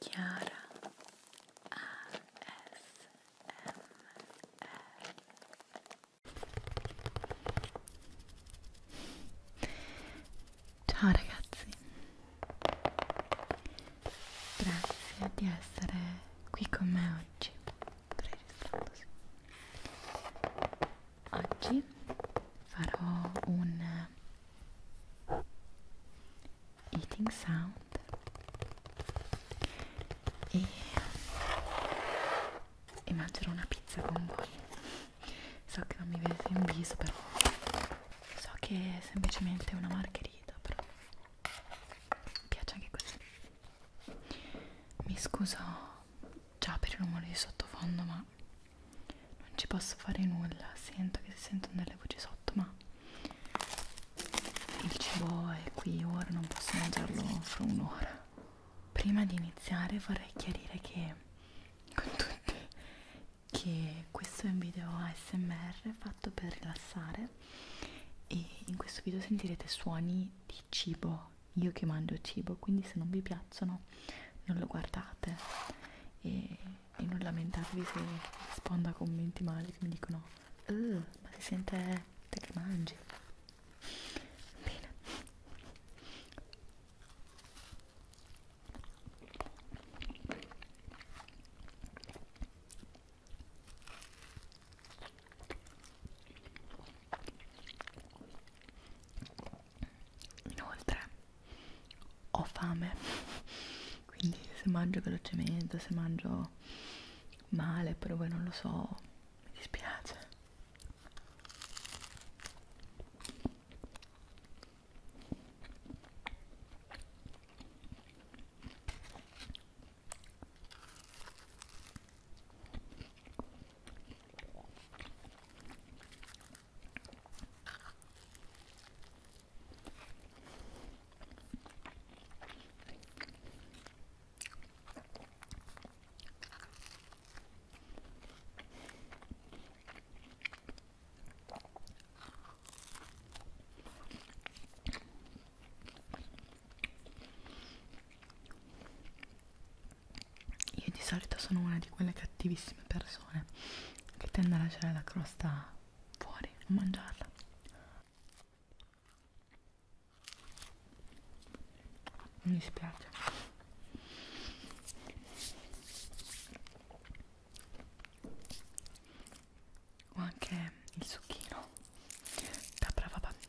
Chiara ASMR Ciao ragazzi Grazie di essere qui con me oggi preregistrandosi Oggi farò un eating sound e, e mangerò una pizza con voi so che non mi vedete in viso però so che è semplicemente una margherita però mi piace anche così mi scuso già per il rumore di sottofondo ma non ci posso fare nulla sento che si sentono delle voci sotto ma il cibo è qui ora, non posso mangiarlo fra un'ora. Prima di iniziare vorrei chiarire che con tutti che questo è un video ASMR fatto per rilassare e in questo video sentirete suoni di cibo, io che mangio cibo, quindi se non vi piacciono non lo guardate e e non lamentatevi se rispondo a commenti male che mi dicono uh, ma si sente te che mangi bene inoltre ho fame quindi se mangio velocemente se mangio male però voi non lo so mi dispiace io di solito sono una di quelle cattivissime persone che tende a lasciare la crosta fuori a mangiarla mi dispiace ho anche il succhino da brava bambina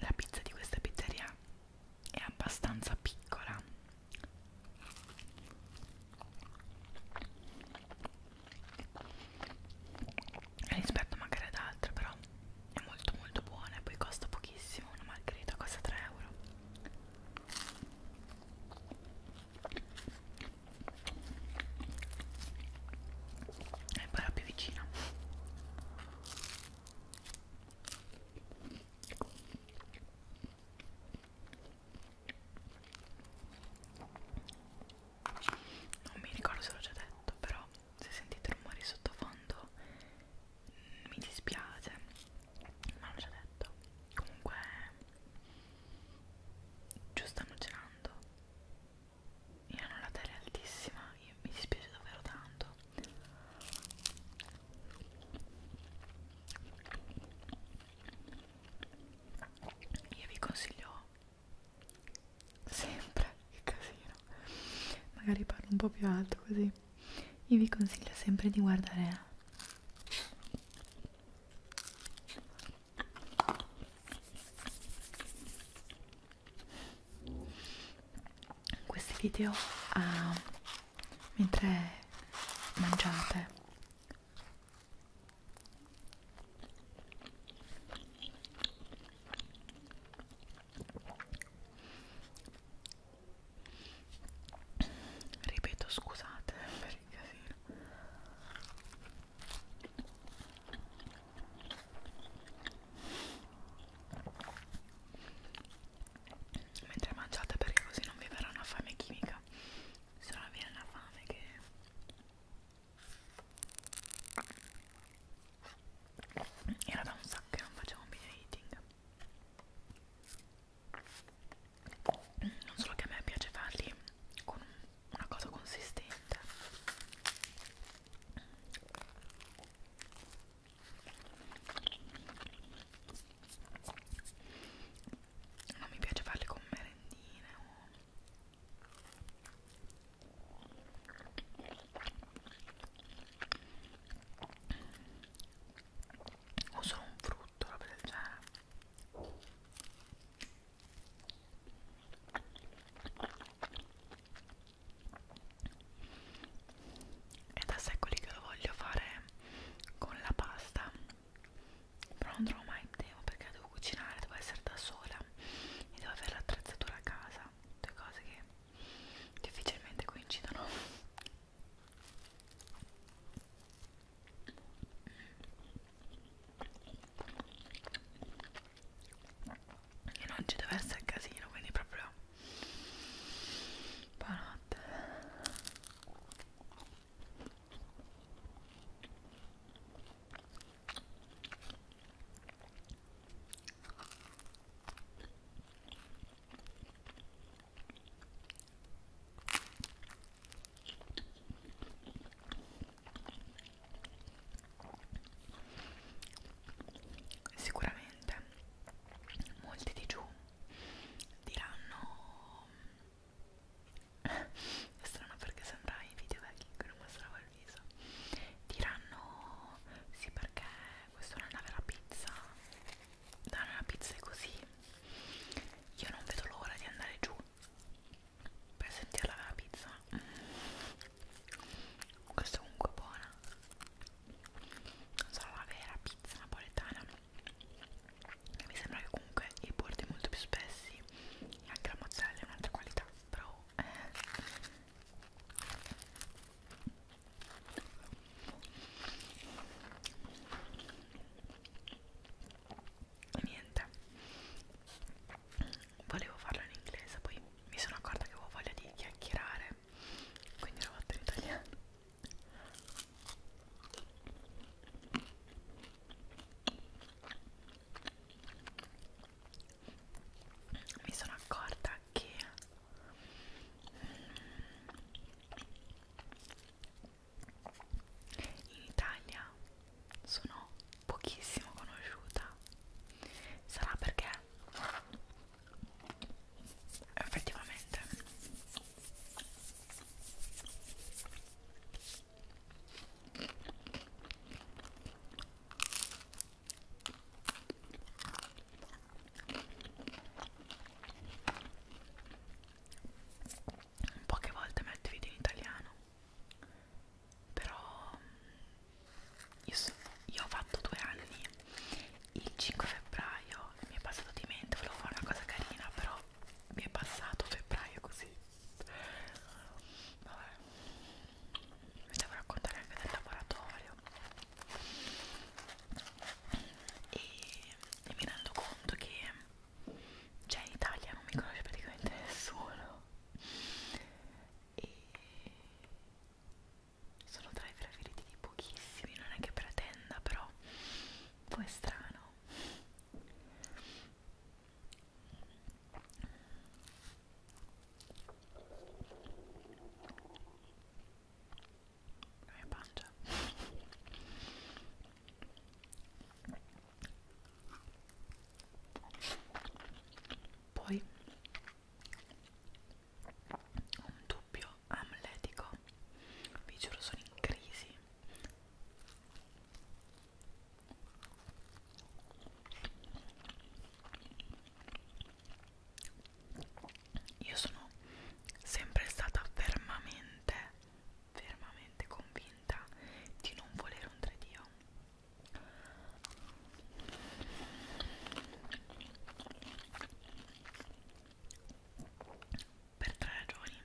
La pizza di questa pizzeria è abbastanza piccola rispetto magari ad altre però è molto molto buona e poi costa pochissimo una margherita costa 3 euro e poi la più vicina non mi ricordo se l'ho già detto però se sentite rumori sottofondo mi dispiace ma l'ho già detto comunque giù stanno girando io non la tele altissima io, mi dispiace davvero tanto io vi consiglio sempre che casino magari parlo un po' più alto così io vi consiglio sempre di guardare eh. questi video uh, mentre mangiate ripeto scusate per il casino mentre mangiate perché così non vi verrà una fame chimica se no viene una fame che era da un sacco che non facevo un video eating. Non solo che a me piace farli con una cosa consistente. Non mi piace farli con merendine o o solo un frutto, roba del genere è da secoli che lo voglio fare con la pasta però non trovo mai il tempo perché devo cucinare, devo essere da sola e devo avere l'attrezzatura a casa due cose che difficilmente coincidono e non ci deve essere casino quindi proprio buonanotte Sicuramente molti di giù diranno eh, è strano perché sembra i video vecchi che non mostravo al viso diranno sì perché questa non è una vera pizza da una pizza è così io non vedo l'ora di andare giù per sentire la vera pizza mm. questa è comunque buona non sarà la vera pizza napoletana mi sembra che comunque i bordi molto più spessi e anche la mozzarella è un'altra qualità però eh, niente volevo farlo in inglese poi mi sono accorta che avevo voglia di chiacchierare quindi l'ho fatto in italiano mi sono accorta che mm, in Italia sono pochissimo conosciuta sarà perché effettivamente Poche volte metto video in italiano, però mm, io, so, io ho fatto due anni il 5 febbraio, mi è passato di mente, volevo fare una cosa carina, però mi è passato febbraio così. Vabbè, vi devo raccontare anche del laboratorio e, e mi rendo conto che cioè in Italia non mi conosce praticamente nessuno e sono tra i preferiti di pochissimi, non è che pretenda però un po' è strano la mia pancia poi un dubbio amletico vi giuro sono in crisi io sono sempre stata fermamente, fermamente convinta di non volere un 3Dio. Per tre ragioni.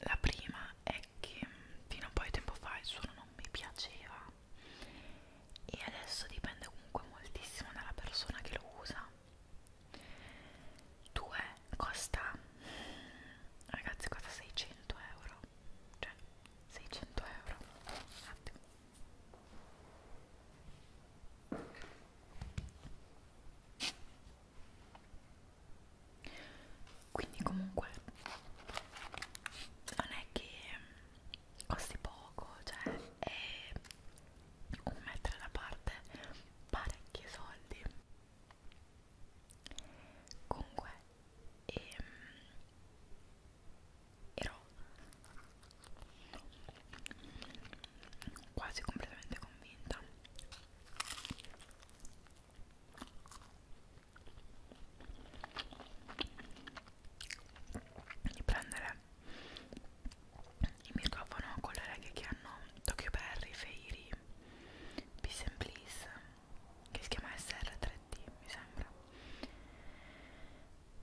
La prima è che fino a un po' di tempo fa il suono non mi piaceva e adesso dipende comunque moltissimo dalla persona che lo usa 2 costa ragazzi costa 600 euro cioè 600 euro un attimo quindi comunque non è che costi poco, cioè è un mettere da parte parecchi soldi. Comunque ehm, ero quasi completamente convinta di prendere il microfono con le reghe che hanno Tokyo Berry, Feiri, Peace and Please che si chiama SR3D mi sembra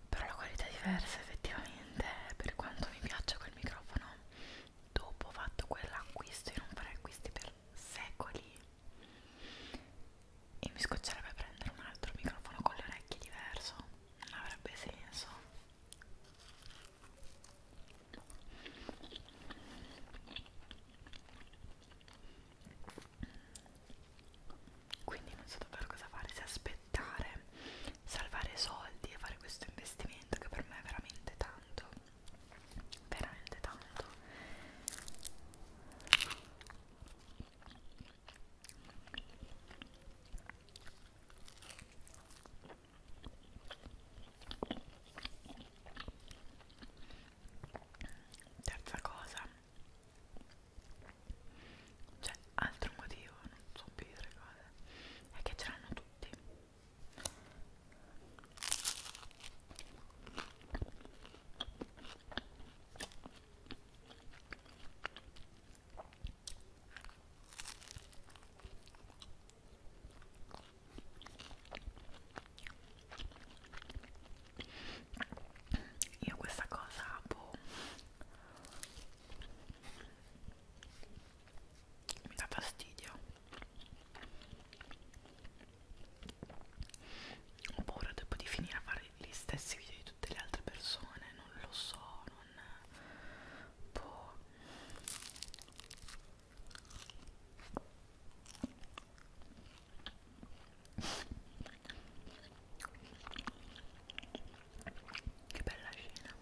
però la qualità è diversa effettivamente per quanto mi piaccia quel microfono dopo ho fatto quell'acquisto e non farei acquisti per secoli e mi scoccerebbe prendere un altro microfono con le orecchie diverso, non avrebbe senso. Quindi non so davvero cosa fare, se aspettare, salvare soldi e fare questo investimento che per me è veramente tanto, veramente tanto Terza cosa, cioè altro motivo, non so più dire cose, è che ce l'hanno tutti. Io questa cosa boh, mi dà fastidio. Ho paura dopo di finire a fare gli stessi video di tutte le altre persone, non lo so, non... Boh. Che bella scena.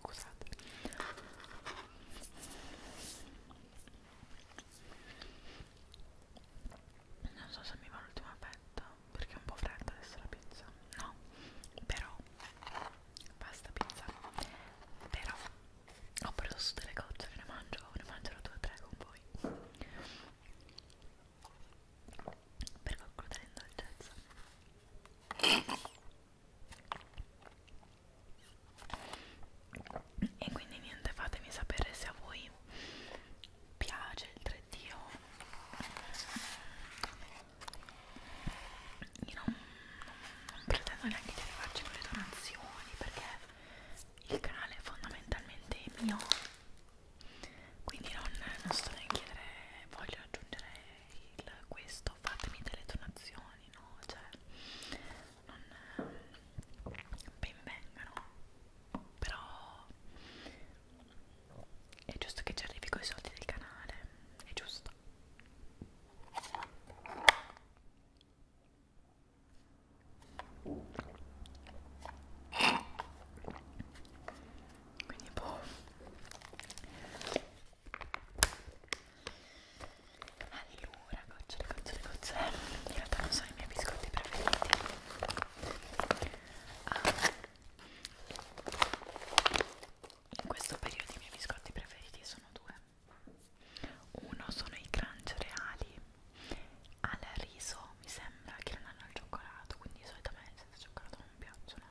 Scusate non so se mi va l'ultima fetta perché è un po' fredda adesso la pizza no però basta pizza però ho preso su delle cozze che ne mangio ne mangerò due o tre con voi per concludere l'indulgenza e quindi niente fatemi sapere se a voi piace il 3D io non, non pretendo neanche di arrivarci con le donazioni perché il canale è fondamentalmente mio quindi non, non sto neanche a chiedere voglio aggiungere il, questo fatemi delle donazioni no cioè non ben vengano però è giusto che ci arrivi con i soldi del canale, è giusto. Quindi boh. Allora, gocciole, gocciole, gocciole. In realtà non sono i miei biscotti preferiti in questo periodo i miei biscotti preferiti sono due uno sono i crunch reali al riso mi sembra che non hanno il cioccolato quindi solitamente senza cioccolato non mi piacciono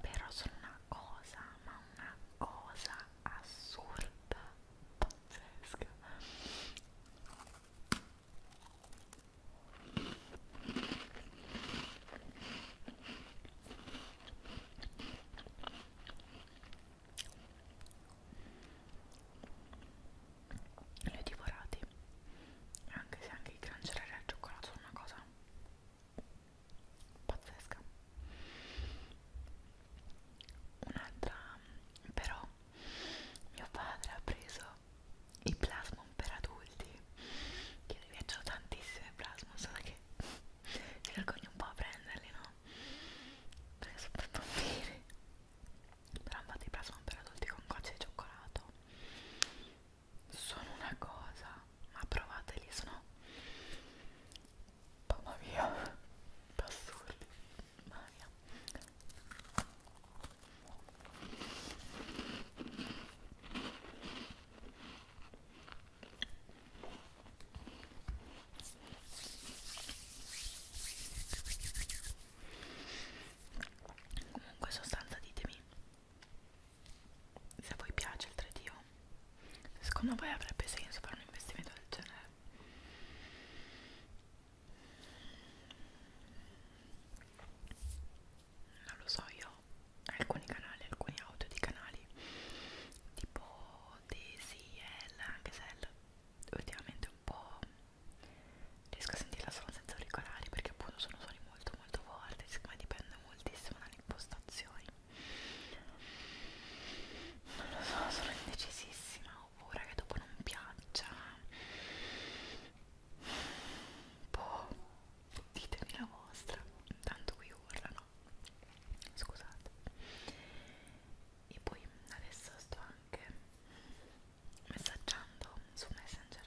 però sono una cosa ma una cosa assurda pazzesca li ho divorati anche se anche i cancerare al cioccolato sono una cosa pazzesca un'altra però mio padre ha preso i plasmon per adulti che ne piacciono tantissimo i plasmon solo che mi vergogno un po' a prenderli no? perché sono per bambini però hanno fatto i plasmon per adulti con gocce di cioccolato sono una cosa ma provateli sono mamma mia assurdi Maria comunque sostanza ditemi se a voi piace il 3D secondo voi avrebbe senso fare un investimento del genere non lo so io alcuni canali alcuni audio di canali tipo Daisy L anche se L ultimamente un po' riesco a sentirla solo senza auricolari perché appunto sono suoni molto molto forti siccome dipende moltissimo dalle impostazioni non lo so sono indecisissima ho oh, paura che dopo non piaccia boh ditemi la vostra intanto qui urlano scusate e poi adesso sto anche messaggiando su messenger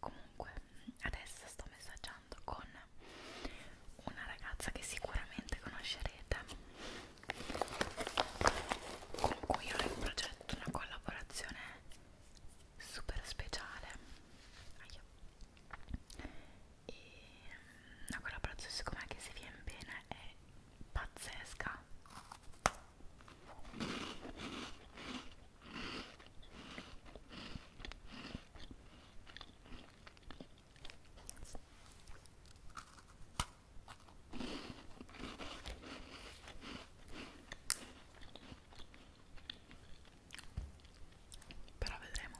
comunque adesso sto messaggiando con una ragazza che sicuramente conoscerete con cui ho in progetto una collaborazione super speciale Aia. e una mm, collaborazione siccome che si viene bene è pazzesca però vedremo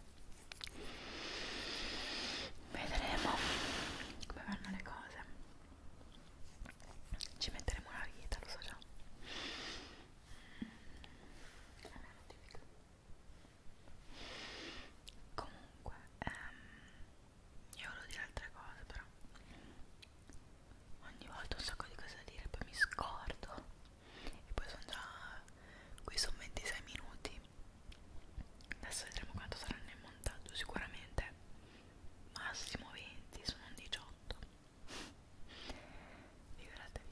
vedremo come vanno le cose ci metteremo la vita lo so già Comunque, ehm, io volevo dire altre cose però ogni volta un sacco di cose da dire poi mi scordo e poi sono già qui sono 26 minuti adesso vedremo quanto sarà nel montaggio sicuramente massimo 20 sono un 18 figuratevi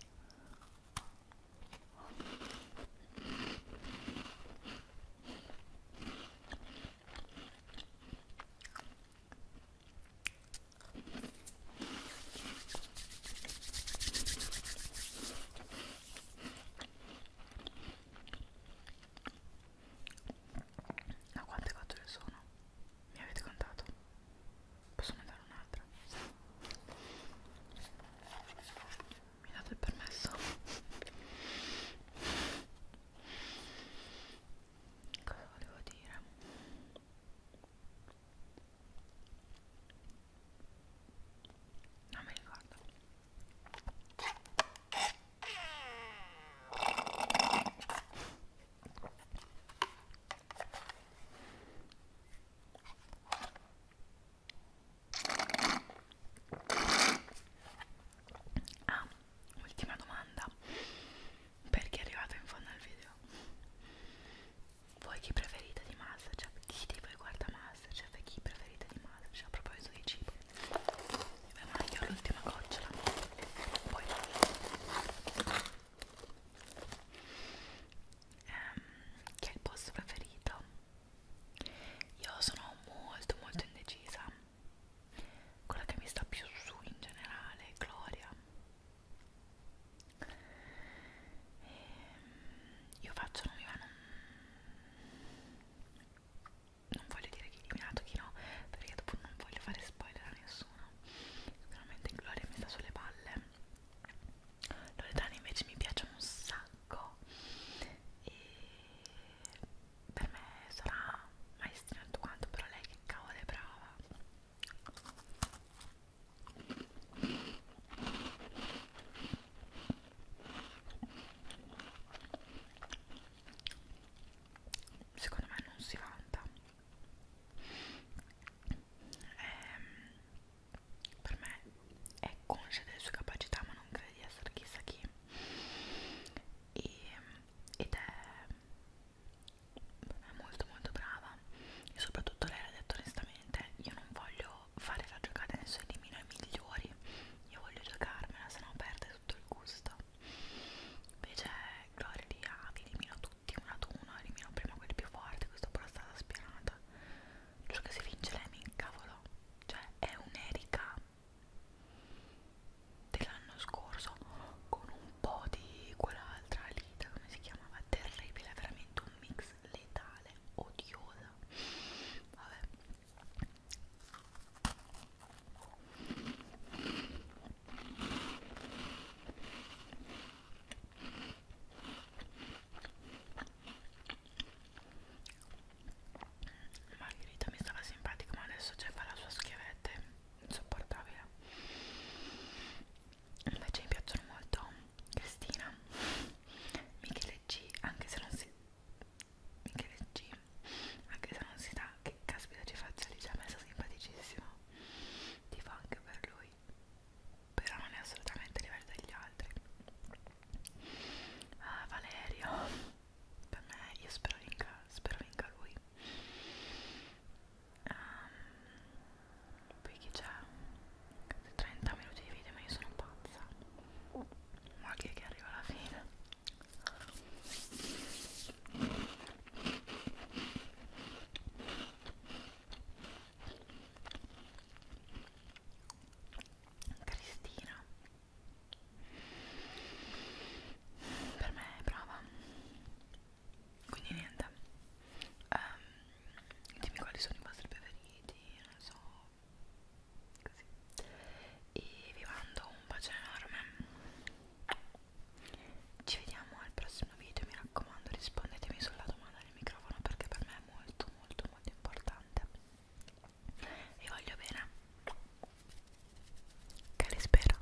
ma quante cattole sono? Mi avete contato? Posso mandare un'altra? Mi date il permesso? cosa volevo dire non mi ricordo ah ultima domanda perché è arrivato in fondo al video voi chi preferite di Masterchef? chi di voi guarda Masterchef e chi preferite di Masterchef? a proposito di cibo beh ma io ho l'ultima gocciola poi ehm, che è il posto preferito? io sono molto molto indecisa quella che mi sta più su in generale è Gloria e ehm, io faccio non mi va non, non voglio dire chi è eliminato chi no perché dopo non voglio fare spoiler a nessuno sicuramente Gloria mi sta sulle palle Loredana invece mi piace un sacco e per me sarà maestrina tutto quanto, però lei che cavolo è brava. Secondo me non si vanta. Ehm, per me è conscia delle sue capacità, ma non crede di essere chissà chi. E ed è, è molto molto brava e soprattutto lei ha detto onestamente io non voglio fare la giocata nei suoi dimmi noi migliori io voglio giocarmela se no perde tutto il gusto invece Gloria lì ah, vi elimino tutti uno ad uno elimino prima quelli più forti questo però è stata spianata ciò che si vince lei mi incavolo cioè è un'erica dell'anno scorso con un po' di quell'altra lita come si chiamava terribile veramente un mix letale odiosa vabbè Margherita mi stava simpatica ma adesso c'è cioè, fa la sua schivetta insopportabile invece mi piacciono molto Cristina Michele G anche se non si Michele G anche se non si dà che caspita ci faccia lì ci cioè, ha messo simpaticissimo ti fa anche per lui però non è assolutamente a livello degli altri ah, Valerio per me io spero vinca, spero vinca lui um, ehm, poi chi c'è? 30 minuti di video ma io sono pazza ma che, che arriva alla fine Cristina per me è brava quindi niente um, dimmi quali sono i vostri preferiti non so così e vi mando un bacio enorme ci vediamo al prossimo video mi raccomando rispondetemi sulla domanda del microfono perché per me è molto molto molto importante vi voglio bene che li spero